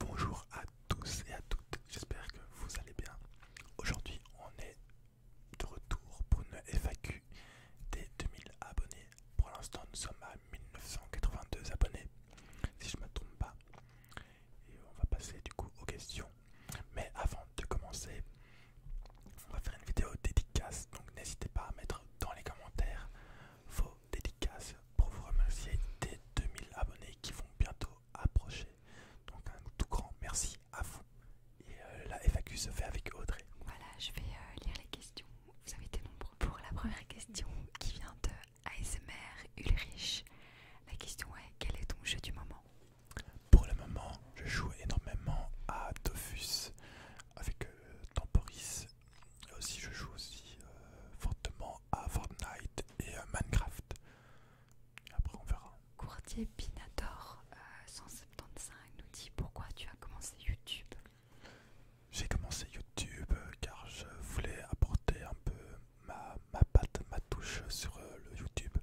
Bonjour à tous et à toutes, j'espère que vous allez bien. Aujourd'hui, on est de retour pour une FAQ des 2000 abonnés. Pour l'instant, nous sommes à 1982 abonnés, si je ne me trompe pas. Et on va passer du coup aux questions. Mais avant de commencer, on va faire une vidéo dédicace, donc n'hésitez pas à mettre dans les commentaires vos dédicaces pour vous remercier des 2000 abonnés qui vont bientôt approcher. Donc un tout grand merci à vous. Et euh, la FAQ se fait avec Audrey. Voilà, je vais euh, lire les questions. Vous avez été nombreux. Pour la première question qui vient de ASMR Ulrich, la question est quel est ton jeu du moment Pour le moment, je joue énormément à Tofus avec euh, Temporis aussi, euh, je joue aussi euh, fortement à Fortnite et à euh, Minecraft. après, on verra. Courtier Pinator 175 nous dit pourquoi tu as commencé YouTube. J'ai commencé YouTube car je voulais apporter un peu ma, patte, ma touche sur le YouTube.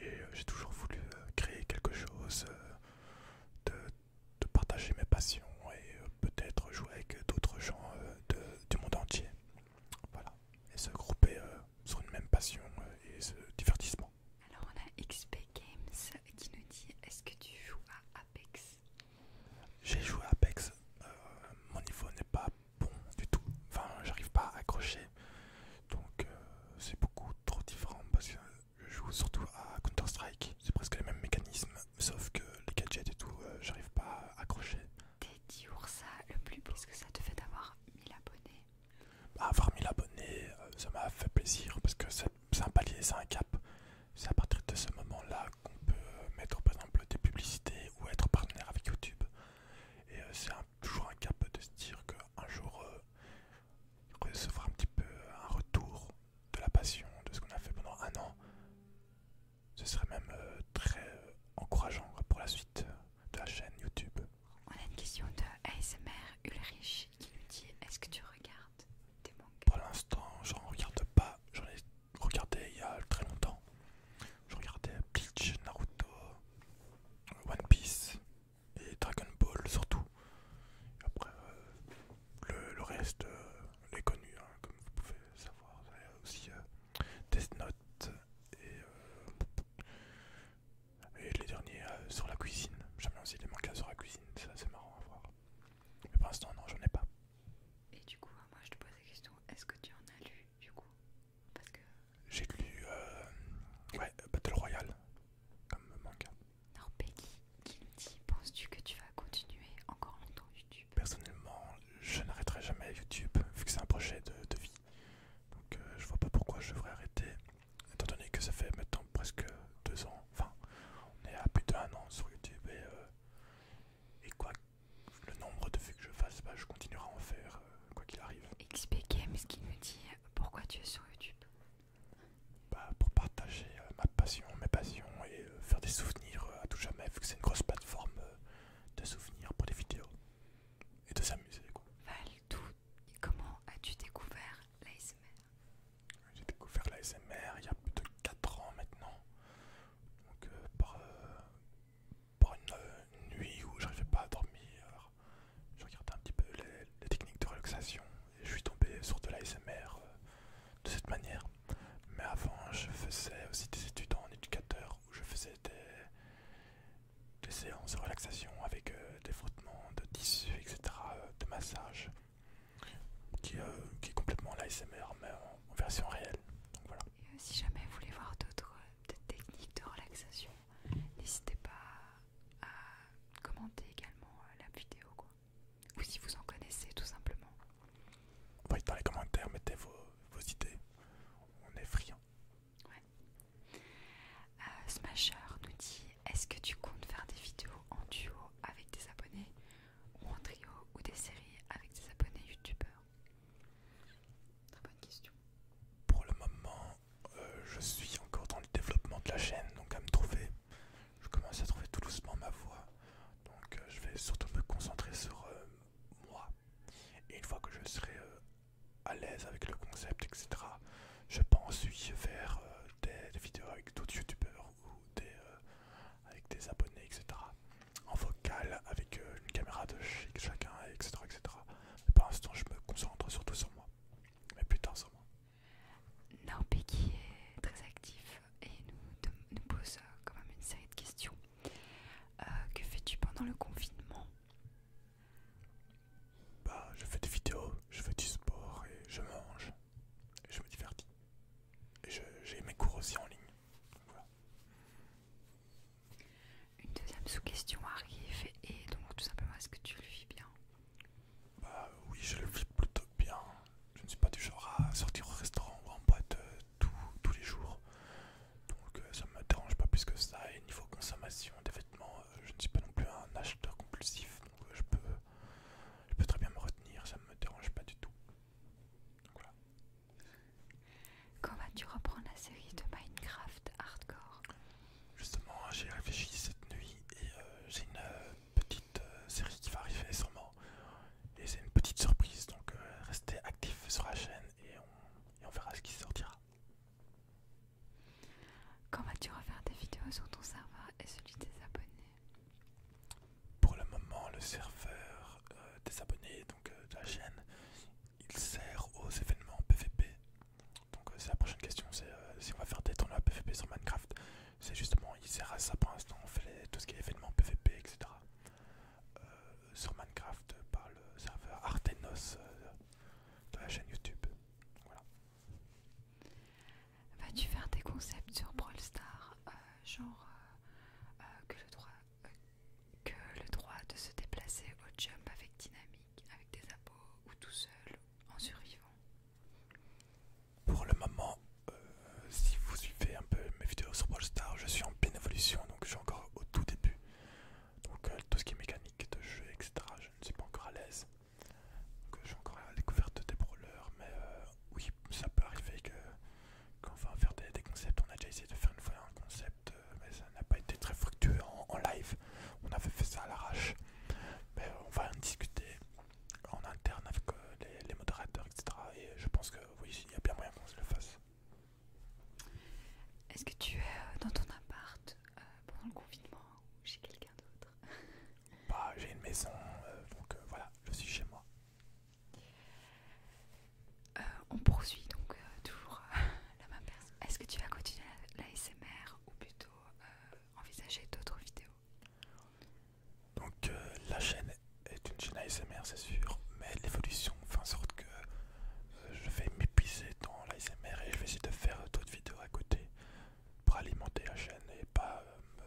Et j'ai toujours voulu créer quelque chose, de, partager mes passions et peut-être jouer avec d'autres gens de euh, du monde entier. Voilà. Et se grouper euh, sur une même passion euh, et ce divertissement. Alors on a XP Games qui nous dit est-ce que tu joues à Apex J'ai joué à Apex, mon niveau n'est pas bon du tout, enfin j'arrive pas à accrocher, donc c'est beaucoup trop différent parce que je joue surtout à Counter-Strike, c'est presque les mêmes mécanismes sauf que les gadgets et tout, euh, j'arrive pas à accrocher. T'es dit ça le plus ce que ça te fait d'avoir 1000 abonnés bah, Avoir 1000 abonnés, euh, ça m'a fait plaisir parce que c'est un palier, c'est un cap. C'est à partir de ce moment-là qu'on peut euh, mettre par exemple des publicités ou être partenaire avec YouTube. Et c'est toujours un cap de se dire qu'un jour, on recevra un petit peu un retour de la passion, de ce qu'on a fait pendant un an. Ce serait même euh, très euh, encourageant pour la suite euh, de la chaîne YouTube. On a une question de ASMR Ulrich qui nous dit Est-ce que tu regardes des mangas Pour l'instant, j'en regarde pas. J'en ai regardé il y a très longtemps. Je regardais Bleach, Naruto, One Piece et Dragon Ball surtout. Après, le, reste les connus. Hein vous pouvez savoir. Il aussi euh, Test notes euh, et, les derniers euh, sur la cuisine. J'aime bien aussi les mangas sur la cuisine, c'est assez marrant à voir. Mais pour l'instant, non, j'en ai pas. Et du coup, moi je te pose la question est-ce que tu en as lu du coup Parce que. J'ai lu Battle Royale comme manga. Non, Peggy, qui penses-tu que tu vas continuer encore longtemps Youtube ?» Personnellement, je n'arrêterai jamais YouTube, vu que c'est un projet de, vie. Donc euh, je vois pas pourquoi je devrais arrêter, étant donné que ça fait maintenant presque deux ans, enfin on est à plus d'un an sur YouTube et, euh, et quoi le nombre de vues que je fasse, bah, je continuerai à en faire euh, quoi qu'il arrive. XP ce qui me dit pourquoi tu es sur YouTube bah, Pour partager ma passion, mes passions et euh, faire des souvenirs euh, à tout jamais, vu que c'est une grosse plateforme euh, de souvenirs pour des vidéos et de s'amuser. Val, comment as-tu découvert l'ASMR J'ai découvert l'ASMR il y a plus de 4 ans maintenant, donc par, une, nuit où j'arrivais pas à dormir, je regardais un petit peu les, techniques de relaxation et je suis tombé sur de l'ASMR de cette manière. Mais avant, je faisais aussi des études en éducateur où je faisais des, séances de relaxation avec euh, des frottements de tissu, etc., euh, de massage, qui, euh, est complètement l'ASMR, mais en, version réelle. si jamais vous voulez voir d'autres techniques de relaxation, n'hésitez pas à commenter également la vidéo ou si vous en connaissez tout simplement. Oui, dans les commentaires, mettez vos, idées, on est friands. Ouais. Euh, nous dit est-ce que tu comptes faire des vidéos en duo avec des abonnés ou en trio ou des séries avec des abonnés youtubeurs Très bonne question. Pour le moment, euh, je suis encore dans le développement de la chaîne, donc à me trouver. Je commence à trouver tout doucement ma voix. Donc euh, je vais surtout me concentrer sur euh, moi. Et une fois que je serai euh, à l'aise avec le concept, etc., je pense y faire des, vidéos avec d'autres youtubeurs ou avec des abonnés, etc. En vocal, avec une caméra de chic chacun, etc. etc. Mais pour l'instant, je me concentre surtout sur moi. Mais plus tard sur moi. Norby qui est très actif et nous, pose euh, quand même une série de questions. Euh, que fais-tu pendant le confinement bah, je fais des vidéos, je fais du sport et je mange. je me divertis. j'ai mes cours aussi en ligne. Une deuxième sous-question arrive et donc tout simplement est-ce que tu le vis bien bah, oui je le vis plutôt bien. Je ne suis pas du genre à sortir au restaurant ou en boîte euh, tous les jours. Donc euh, ça me dérange pas plus que ça. Et niveau consommation des vêtements, euh, je ne suis pas non plus un acheteur compulsif. Donc euh, je, peux, je peux très bien me retenir, ça ne me dérange pas du tout. Donc Quand vas-tu reprendre la série de Minecraft Hardcore Justement, j'ai réfléchi cette nuit et j'ai une petite petite euh, série qui va arriver sûrement. Et c'est une petite surprise, donc euh, restez actifs sur la chaîne et on, verra ce qui sortira. Quand vas-tu refaire des vidéos sur ton serveur et celui des abonnés Pour le moment, le serveur euh, des abonnés donc, de la chaîne, il sert aux événements PVP. Donc c'est la prochaine question, c'est si on va faire des tournois PVP sur Minecraft. C'est justement, il sert à ça pour l'instant, on fait tout ce qui est événements PVP, etc. Euh, sur Minecraft par le serveur Artenos euh, de la chaîne YouTube. Voilà. Vas-tu faire des concepts sur Brawl Stars, euh, genre que, le droit, que le droit de se déplacer au jump avec dynamique, avec des abos ou tout seul, en survivant pour le moment, euh, si vous suivez un peu mes vidéos sur Brawl Stars, je suis en pleine évolution, donc je suis encore au tout début. Donc euh, tout ce qui est mécanique de jeu, etc., je ne suis pas encore à l'aise. Donc je suis encore à la découverte des brawlers, mais euh, oui, ça peut arriver que va faire des, concepts, on a déjà essayé de faire une fois un concept, mais ça n'a pas été très fructueux en, live. On avait fait ça à l'arrache. Mais on va en discuter en interne avec les, les modérateurs, etc. Et je pense que euh, il y a bien moyen qu'on se le fasse. Est-ce que tu es euh, dans ton appart euh, pendant le confinement ou chez quelqu'un d'autre bah, j'ai une maison, donc voilà, je suis chez moi. on poursuit donc toujours la même personne. Est-ce que tu vas continuer la, ou plutôt envisager d'autres vidéos donc euh, la chaîne est une chaîne ASMR c'est sûr, mais l'évolution fait en sorte que euh, je vais m'épuiser dans l'ASMR et je vais essayer de faire d'autres vidéos à côté pour alimenter la chaîne et pas euh,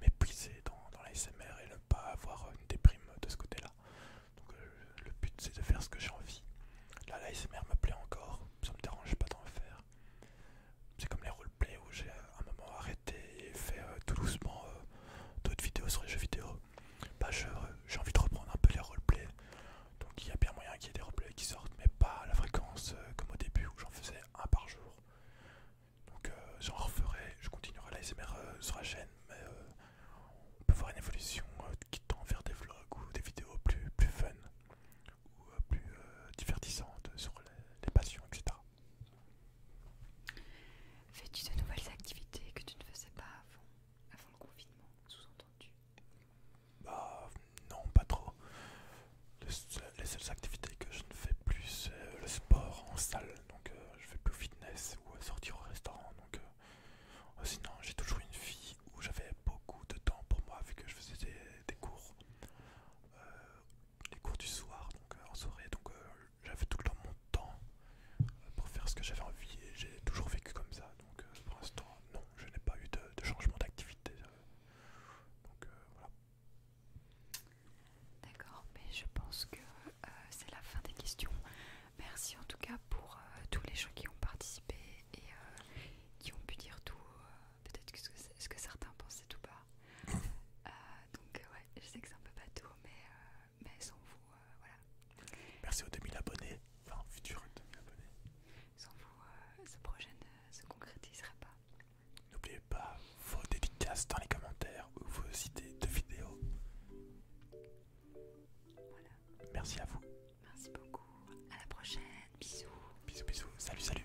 m'épuiser dans, l'ASMR et ne pas avoir une déprime de ce côté-là. Donc le but c'est de faire ce que j'ai envie. Là l'ASMR me plaît encore, ça me dérange pas d'en faire. C'est comme les où j'ai euh, à un moment arrêté et fait euh, tout doucement euh, d'autres vidéos sur les jeux vidéo, bah, j'ai envie de reprendre un peu les roleplays. Donc il y a bien moyen qu'il y ait des roleplays qui sortent, mais pas à la fréquence comme au début où j'en faisais un par jour. Donc j'en referai, je continuerai l'ASMR sur la chaîne, mais on peut voir une évolution qui tend vers des vlogs ou des vidéos plus, plus fun ou plus divertissantes sur les passions, etc. Fais-tu de nouvelles activités que tu ne faisais pas avant, le confinement, sous-entendu Bah non, pas trop. les seules activités que je ne fais plus, c'est euh, le sport en salle. Donc euh, je fais plus fitness ou sortir au restaurant. Donc euh, oh, sinon, j'ai toujours une vie où j'avais beaucoup de temps pour moi vu que je faisais des, cours, les cours du soir, donc en soirée j'avais tout le temps mon temps pour faire ce que j'avais envie et j'ai toujours vécu comme ça. Donc euh, pour l'instant, non, je n'ai pas eu de, changement d'activité. Euh, donc euh, voilà. D'accord, mais je pense que c'est la fin des questions. Merci en tout cas pour tous les gens qui ont participé et qui ont pu dire tout. Peut-être que ce, que certains pensaient ou pas donc euh, ouais, je sais que c'est un peu bateau, mais, euh, mais sans vous, euh, voilà. Merci aux 2000 abonnés, enfin futurs 2000 abonnés. Sans vous, ce projet ne se concrétiserait pas. N'oubliez pas vos dédicaces dans les commentaires ou vos idées de vidéos. Voilà. Merci à vous. Merci beaucoup. À la prochaine. Bisous. Bisous, bisous. Salut, salut.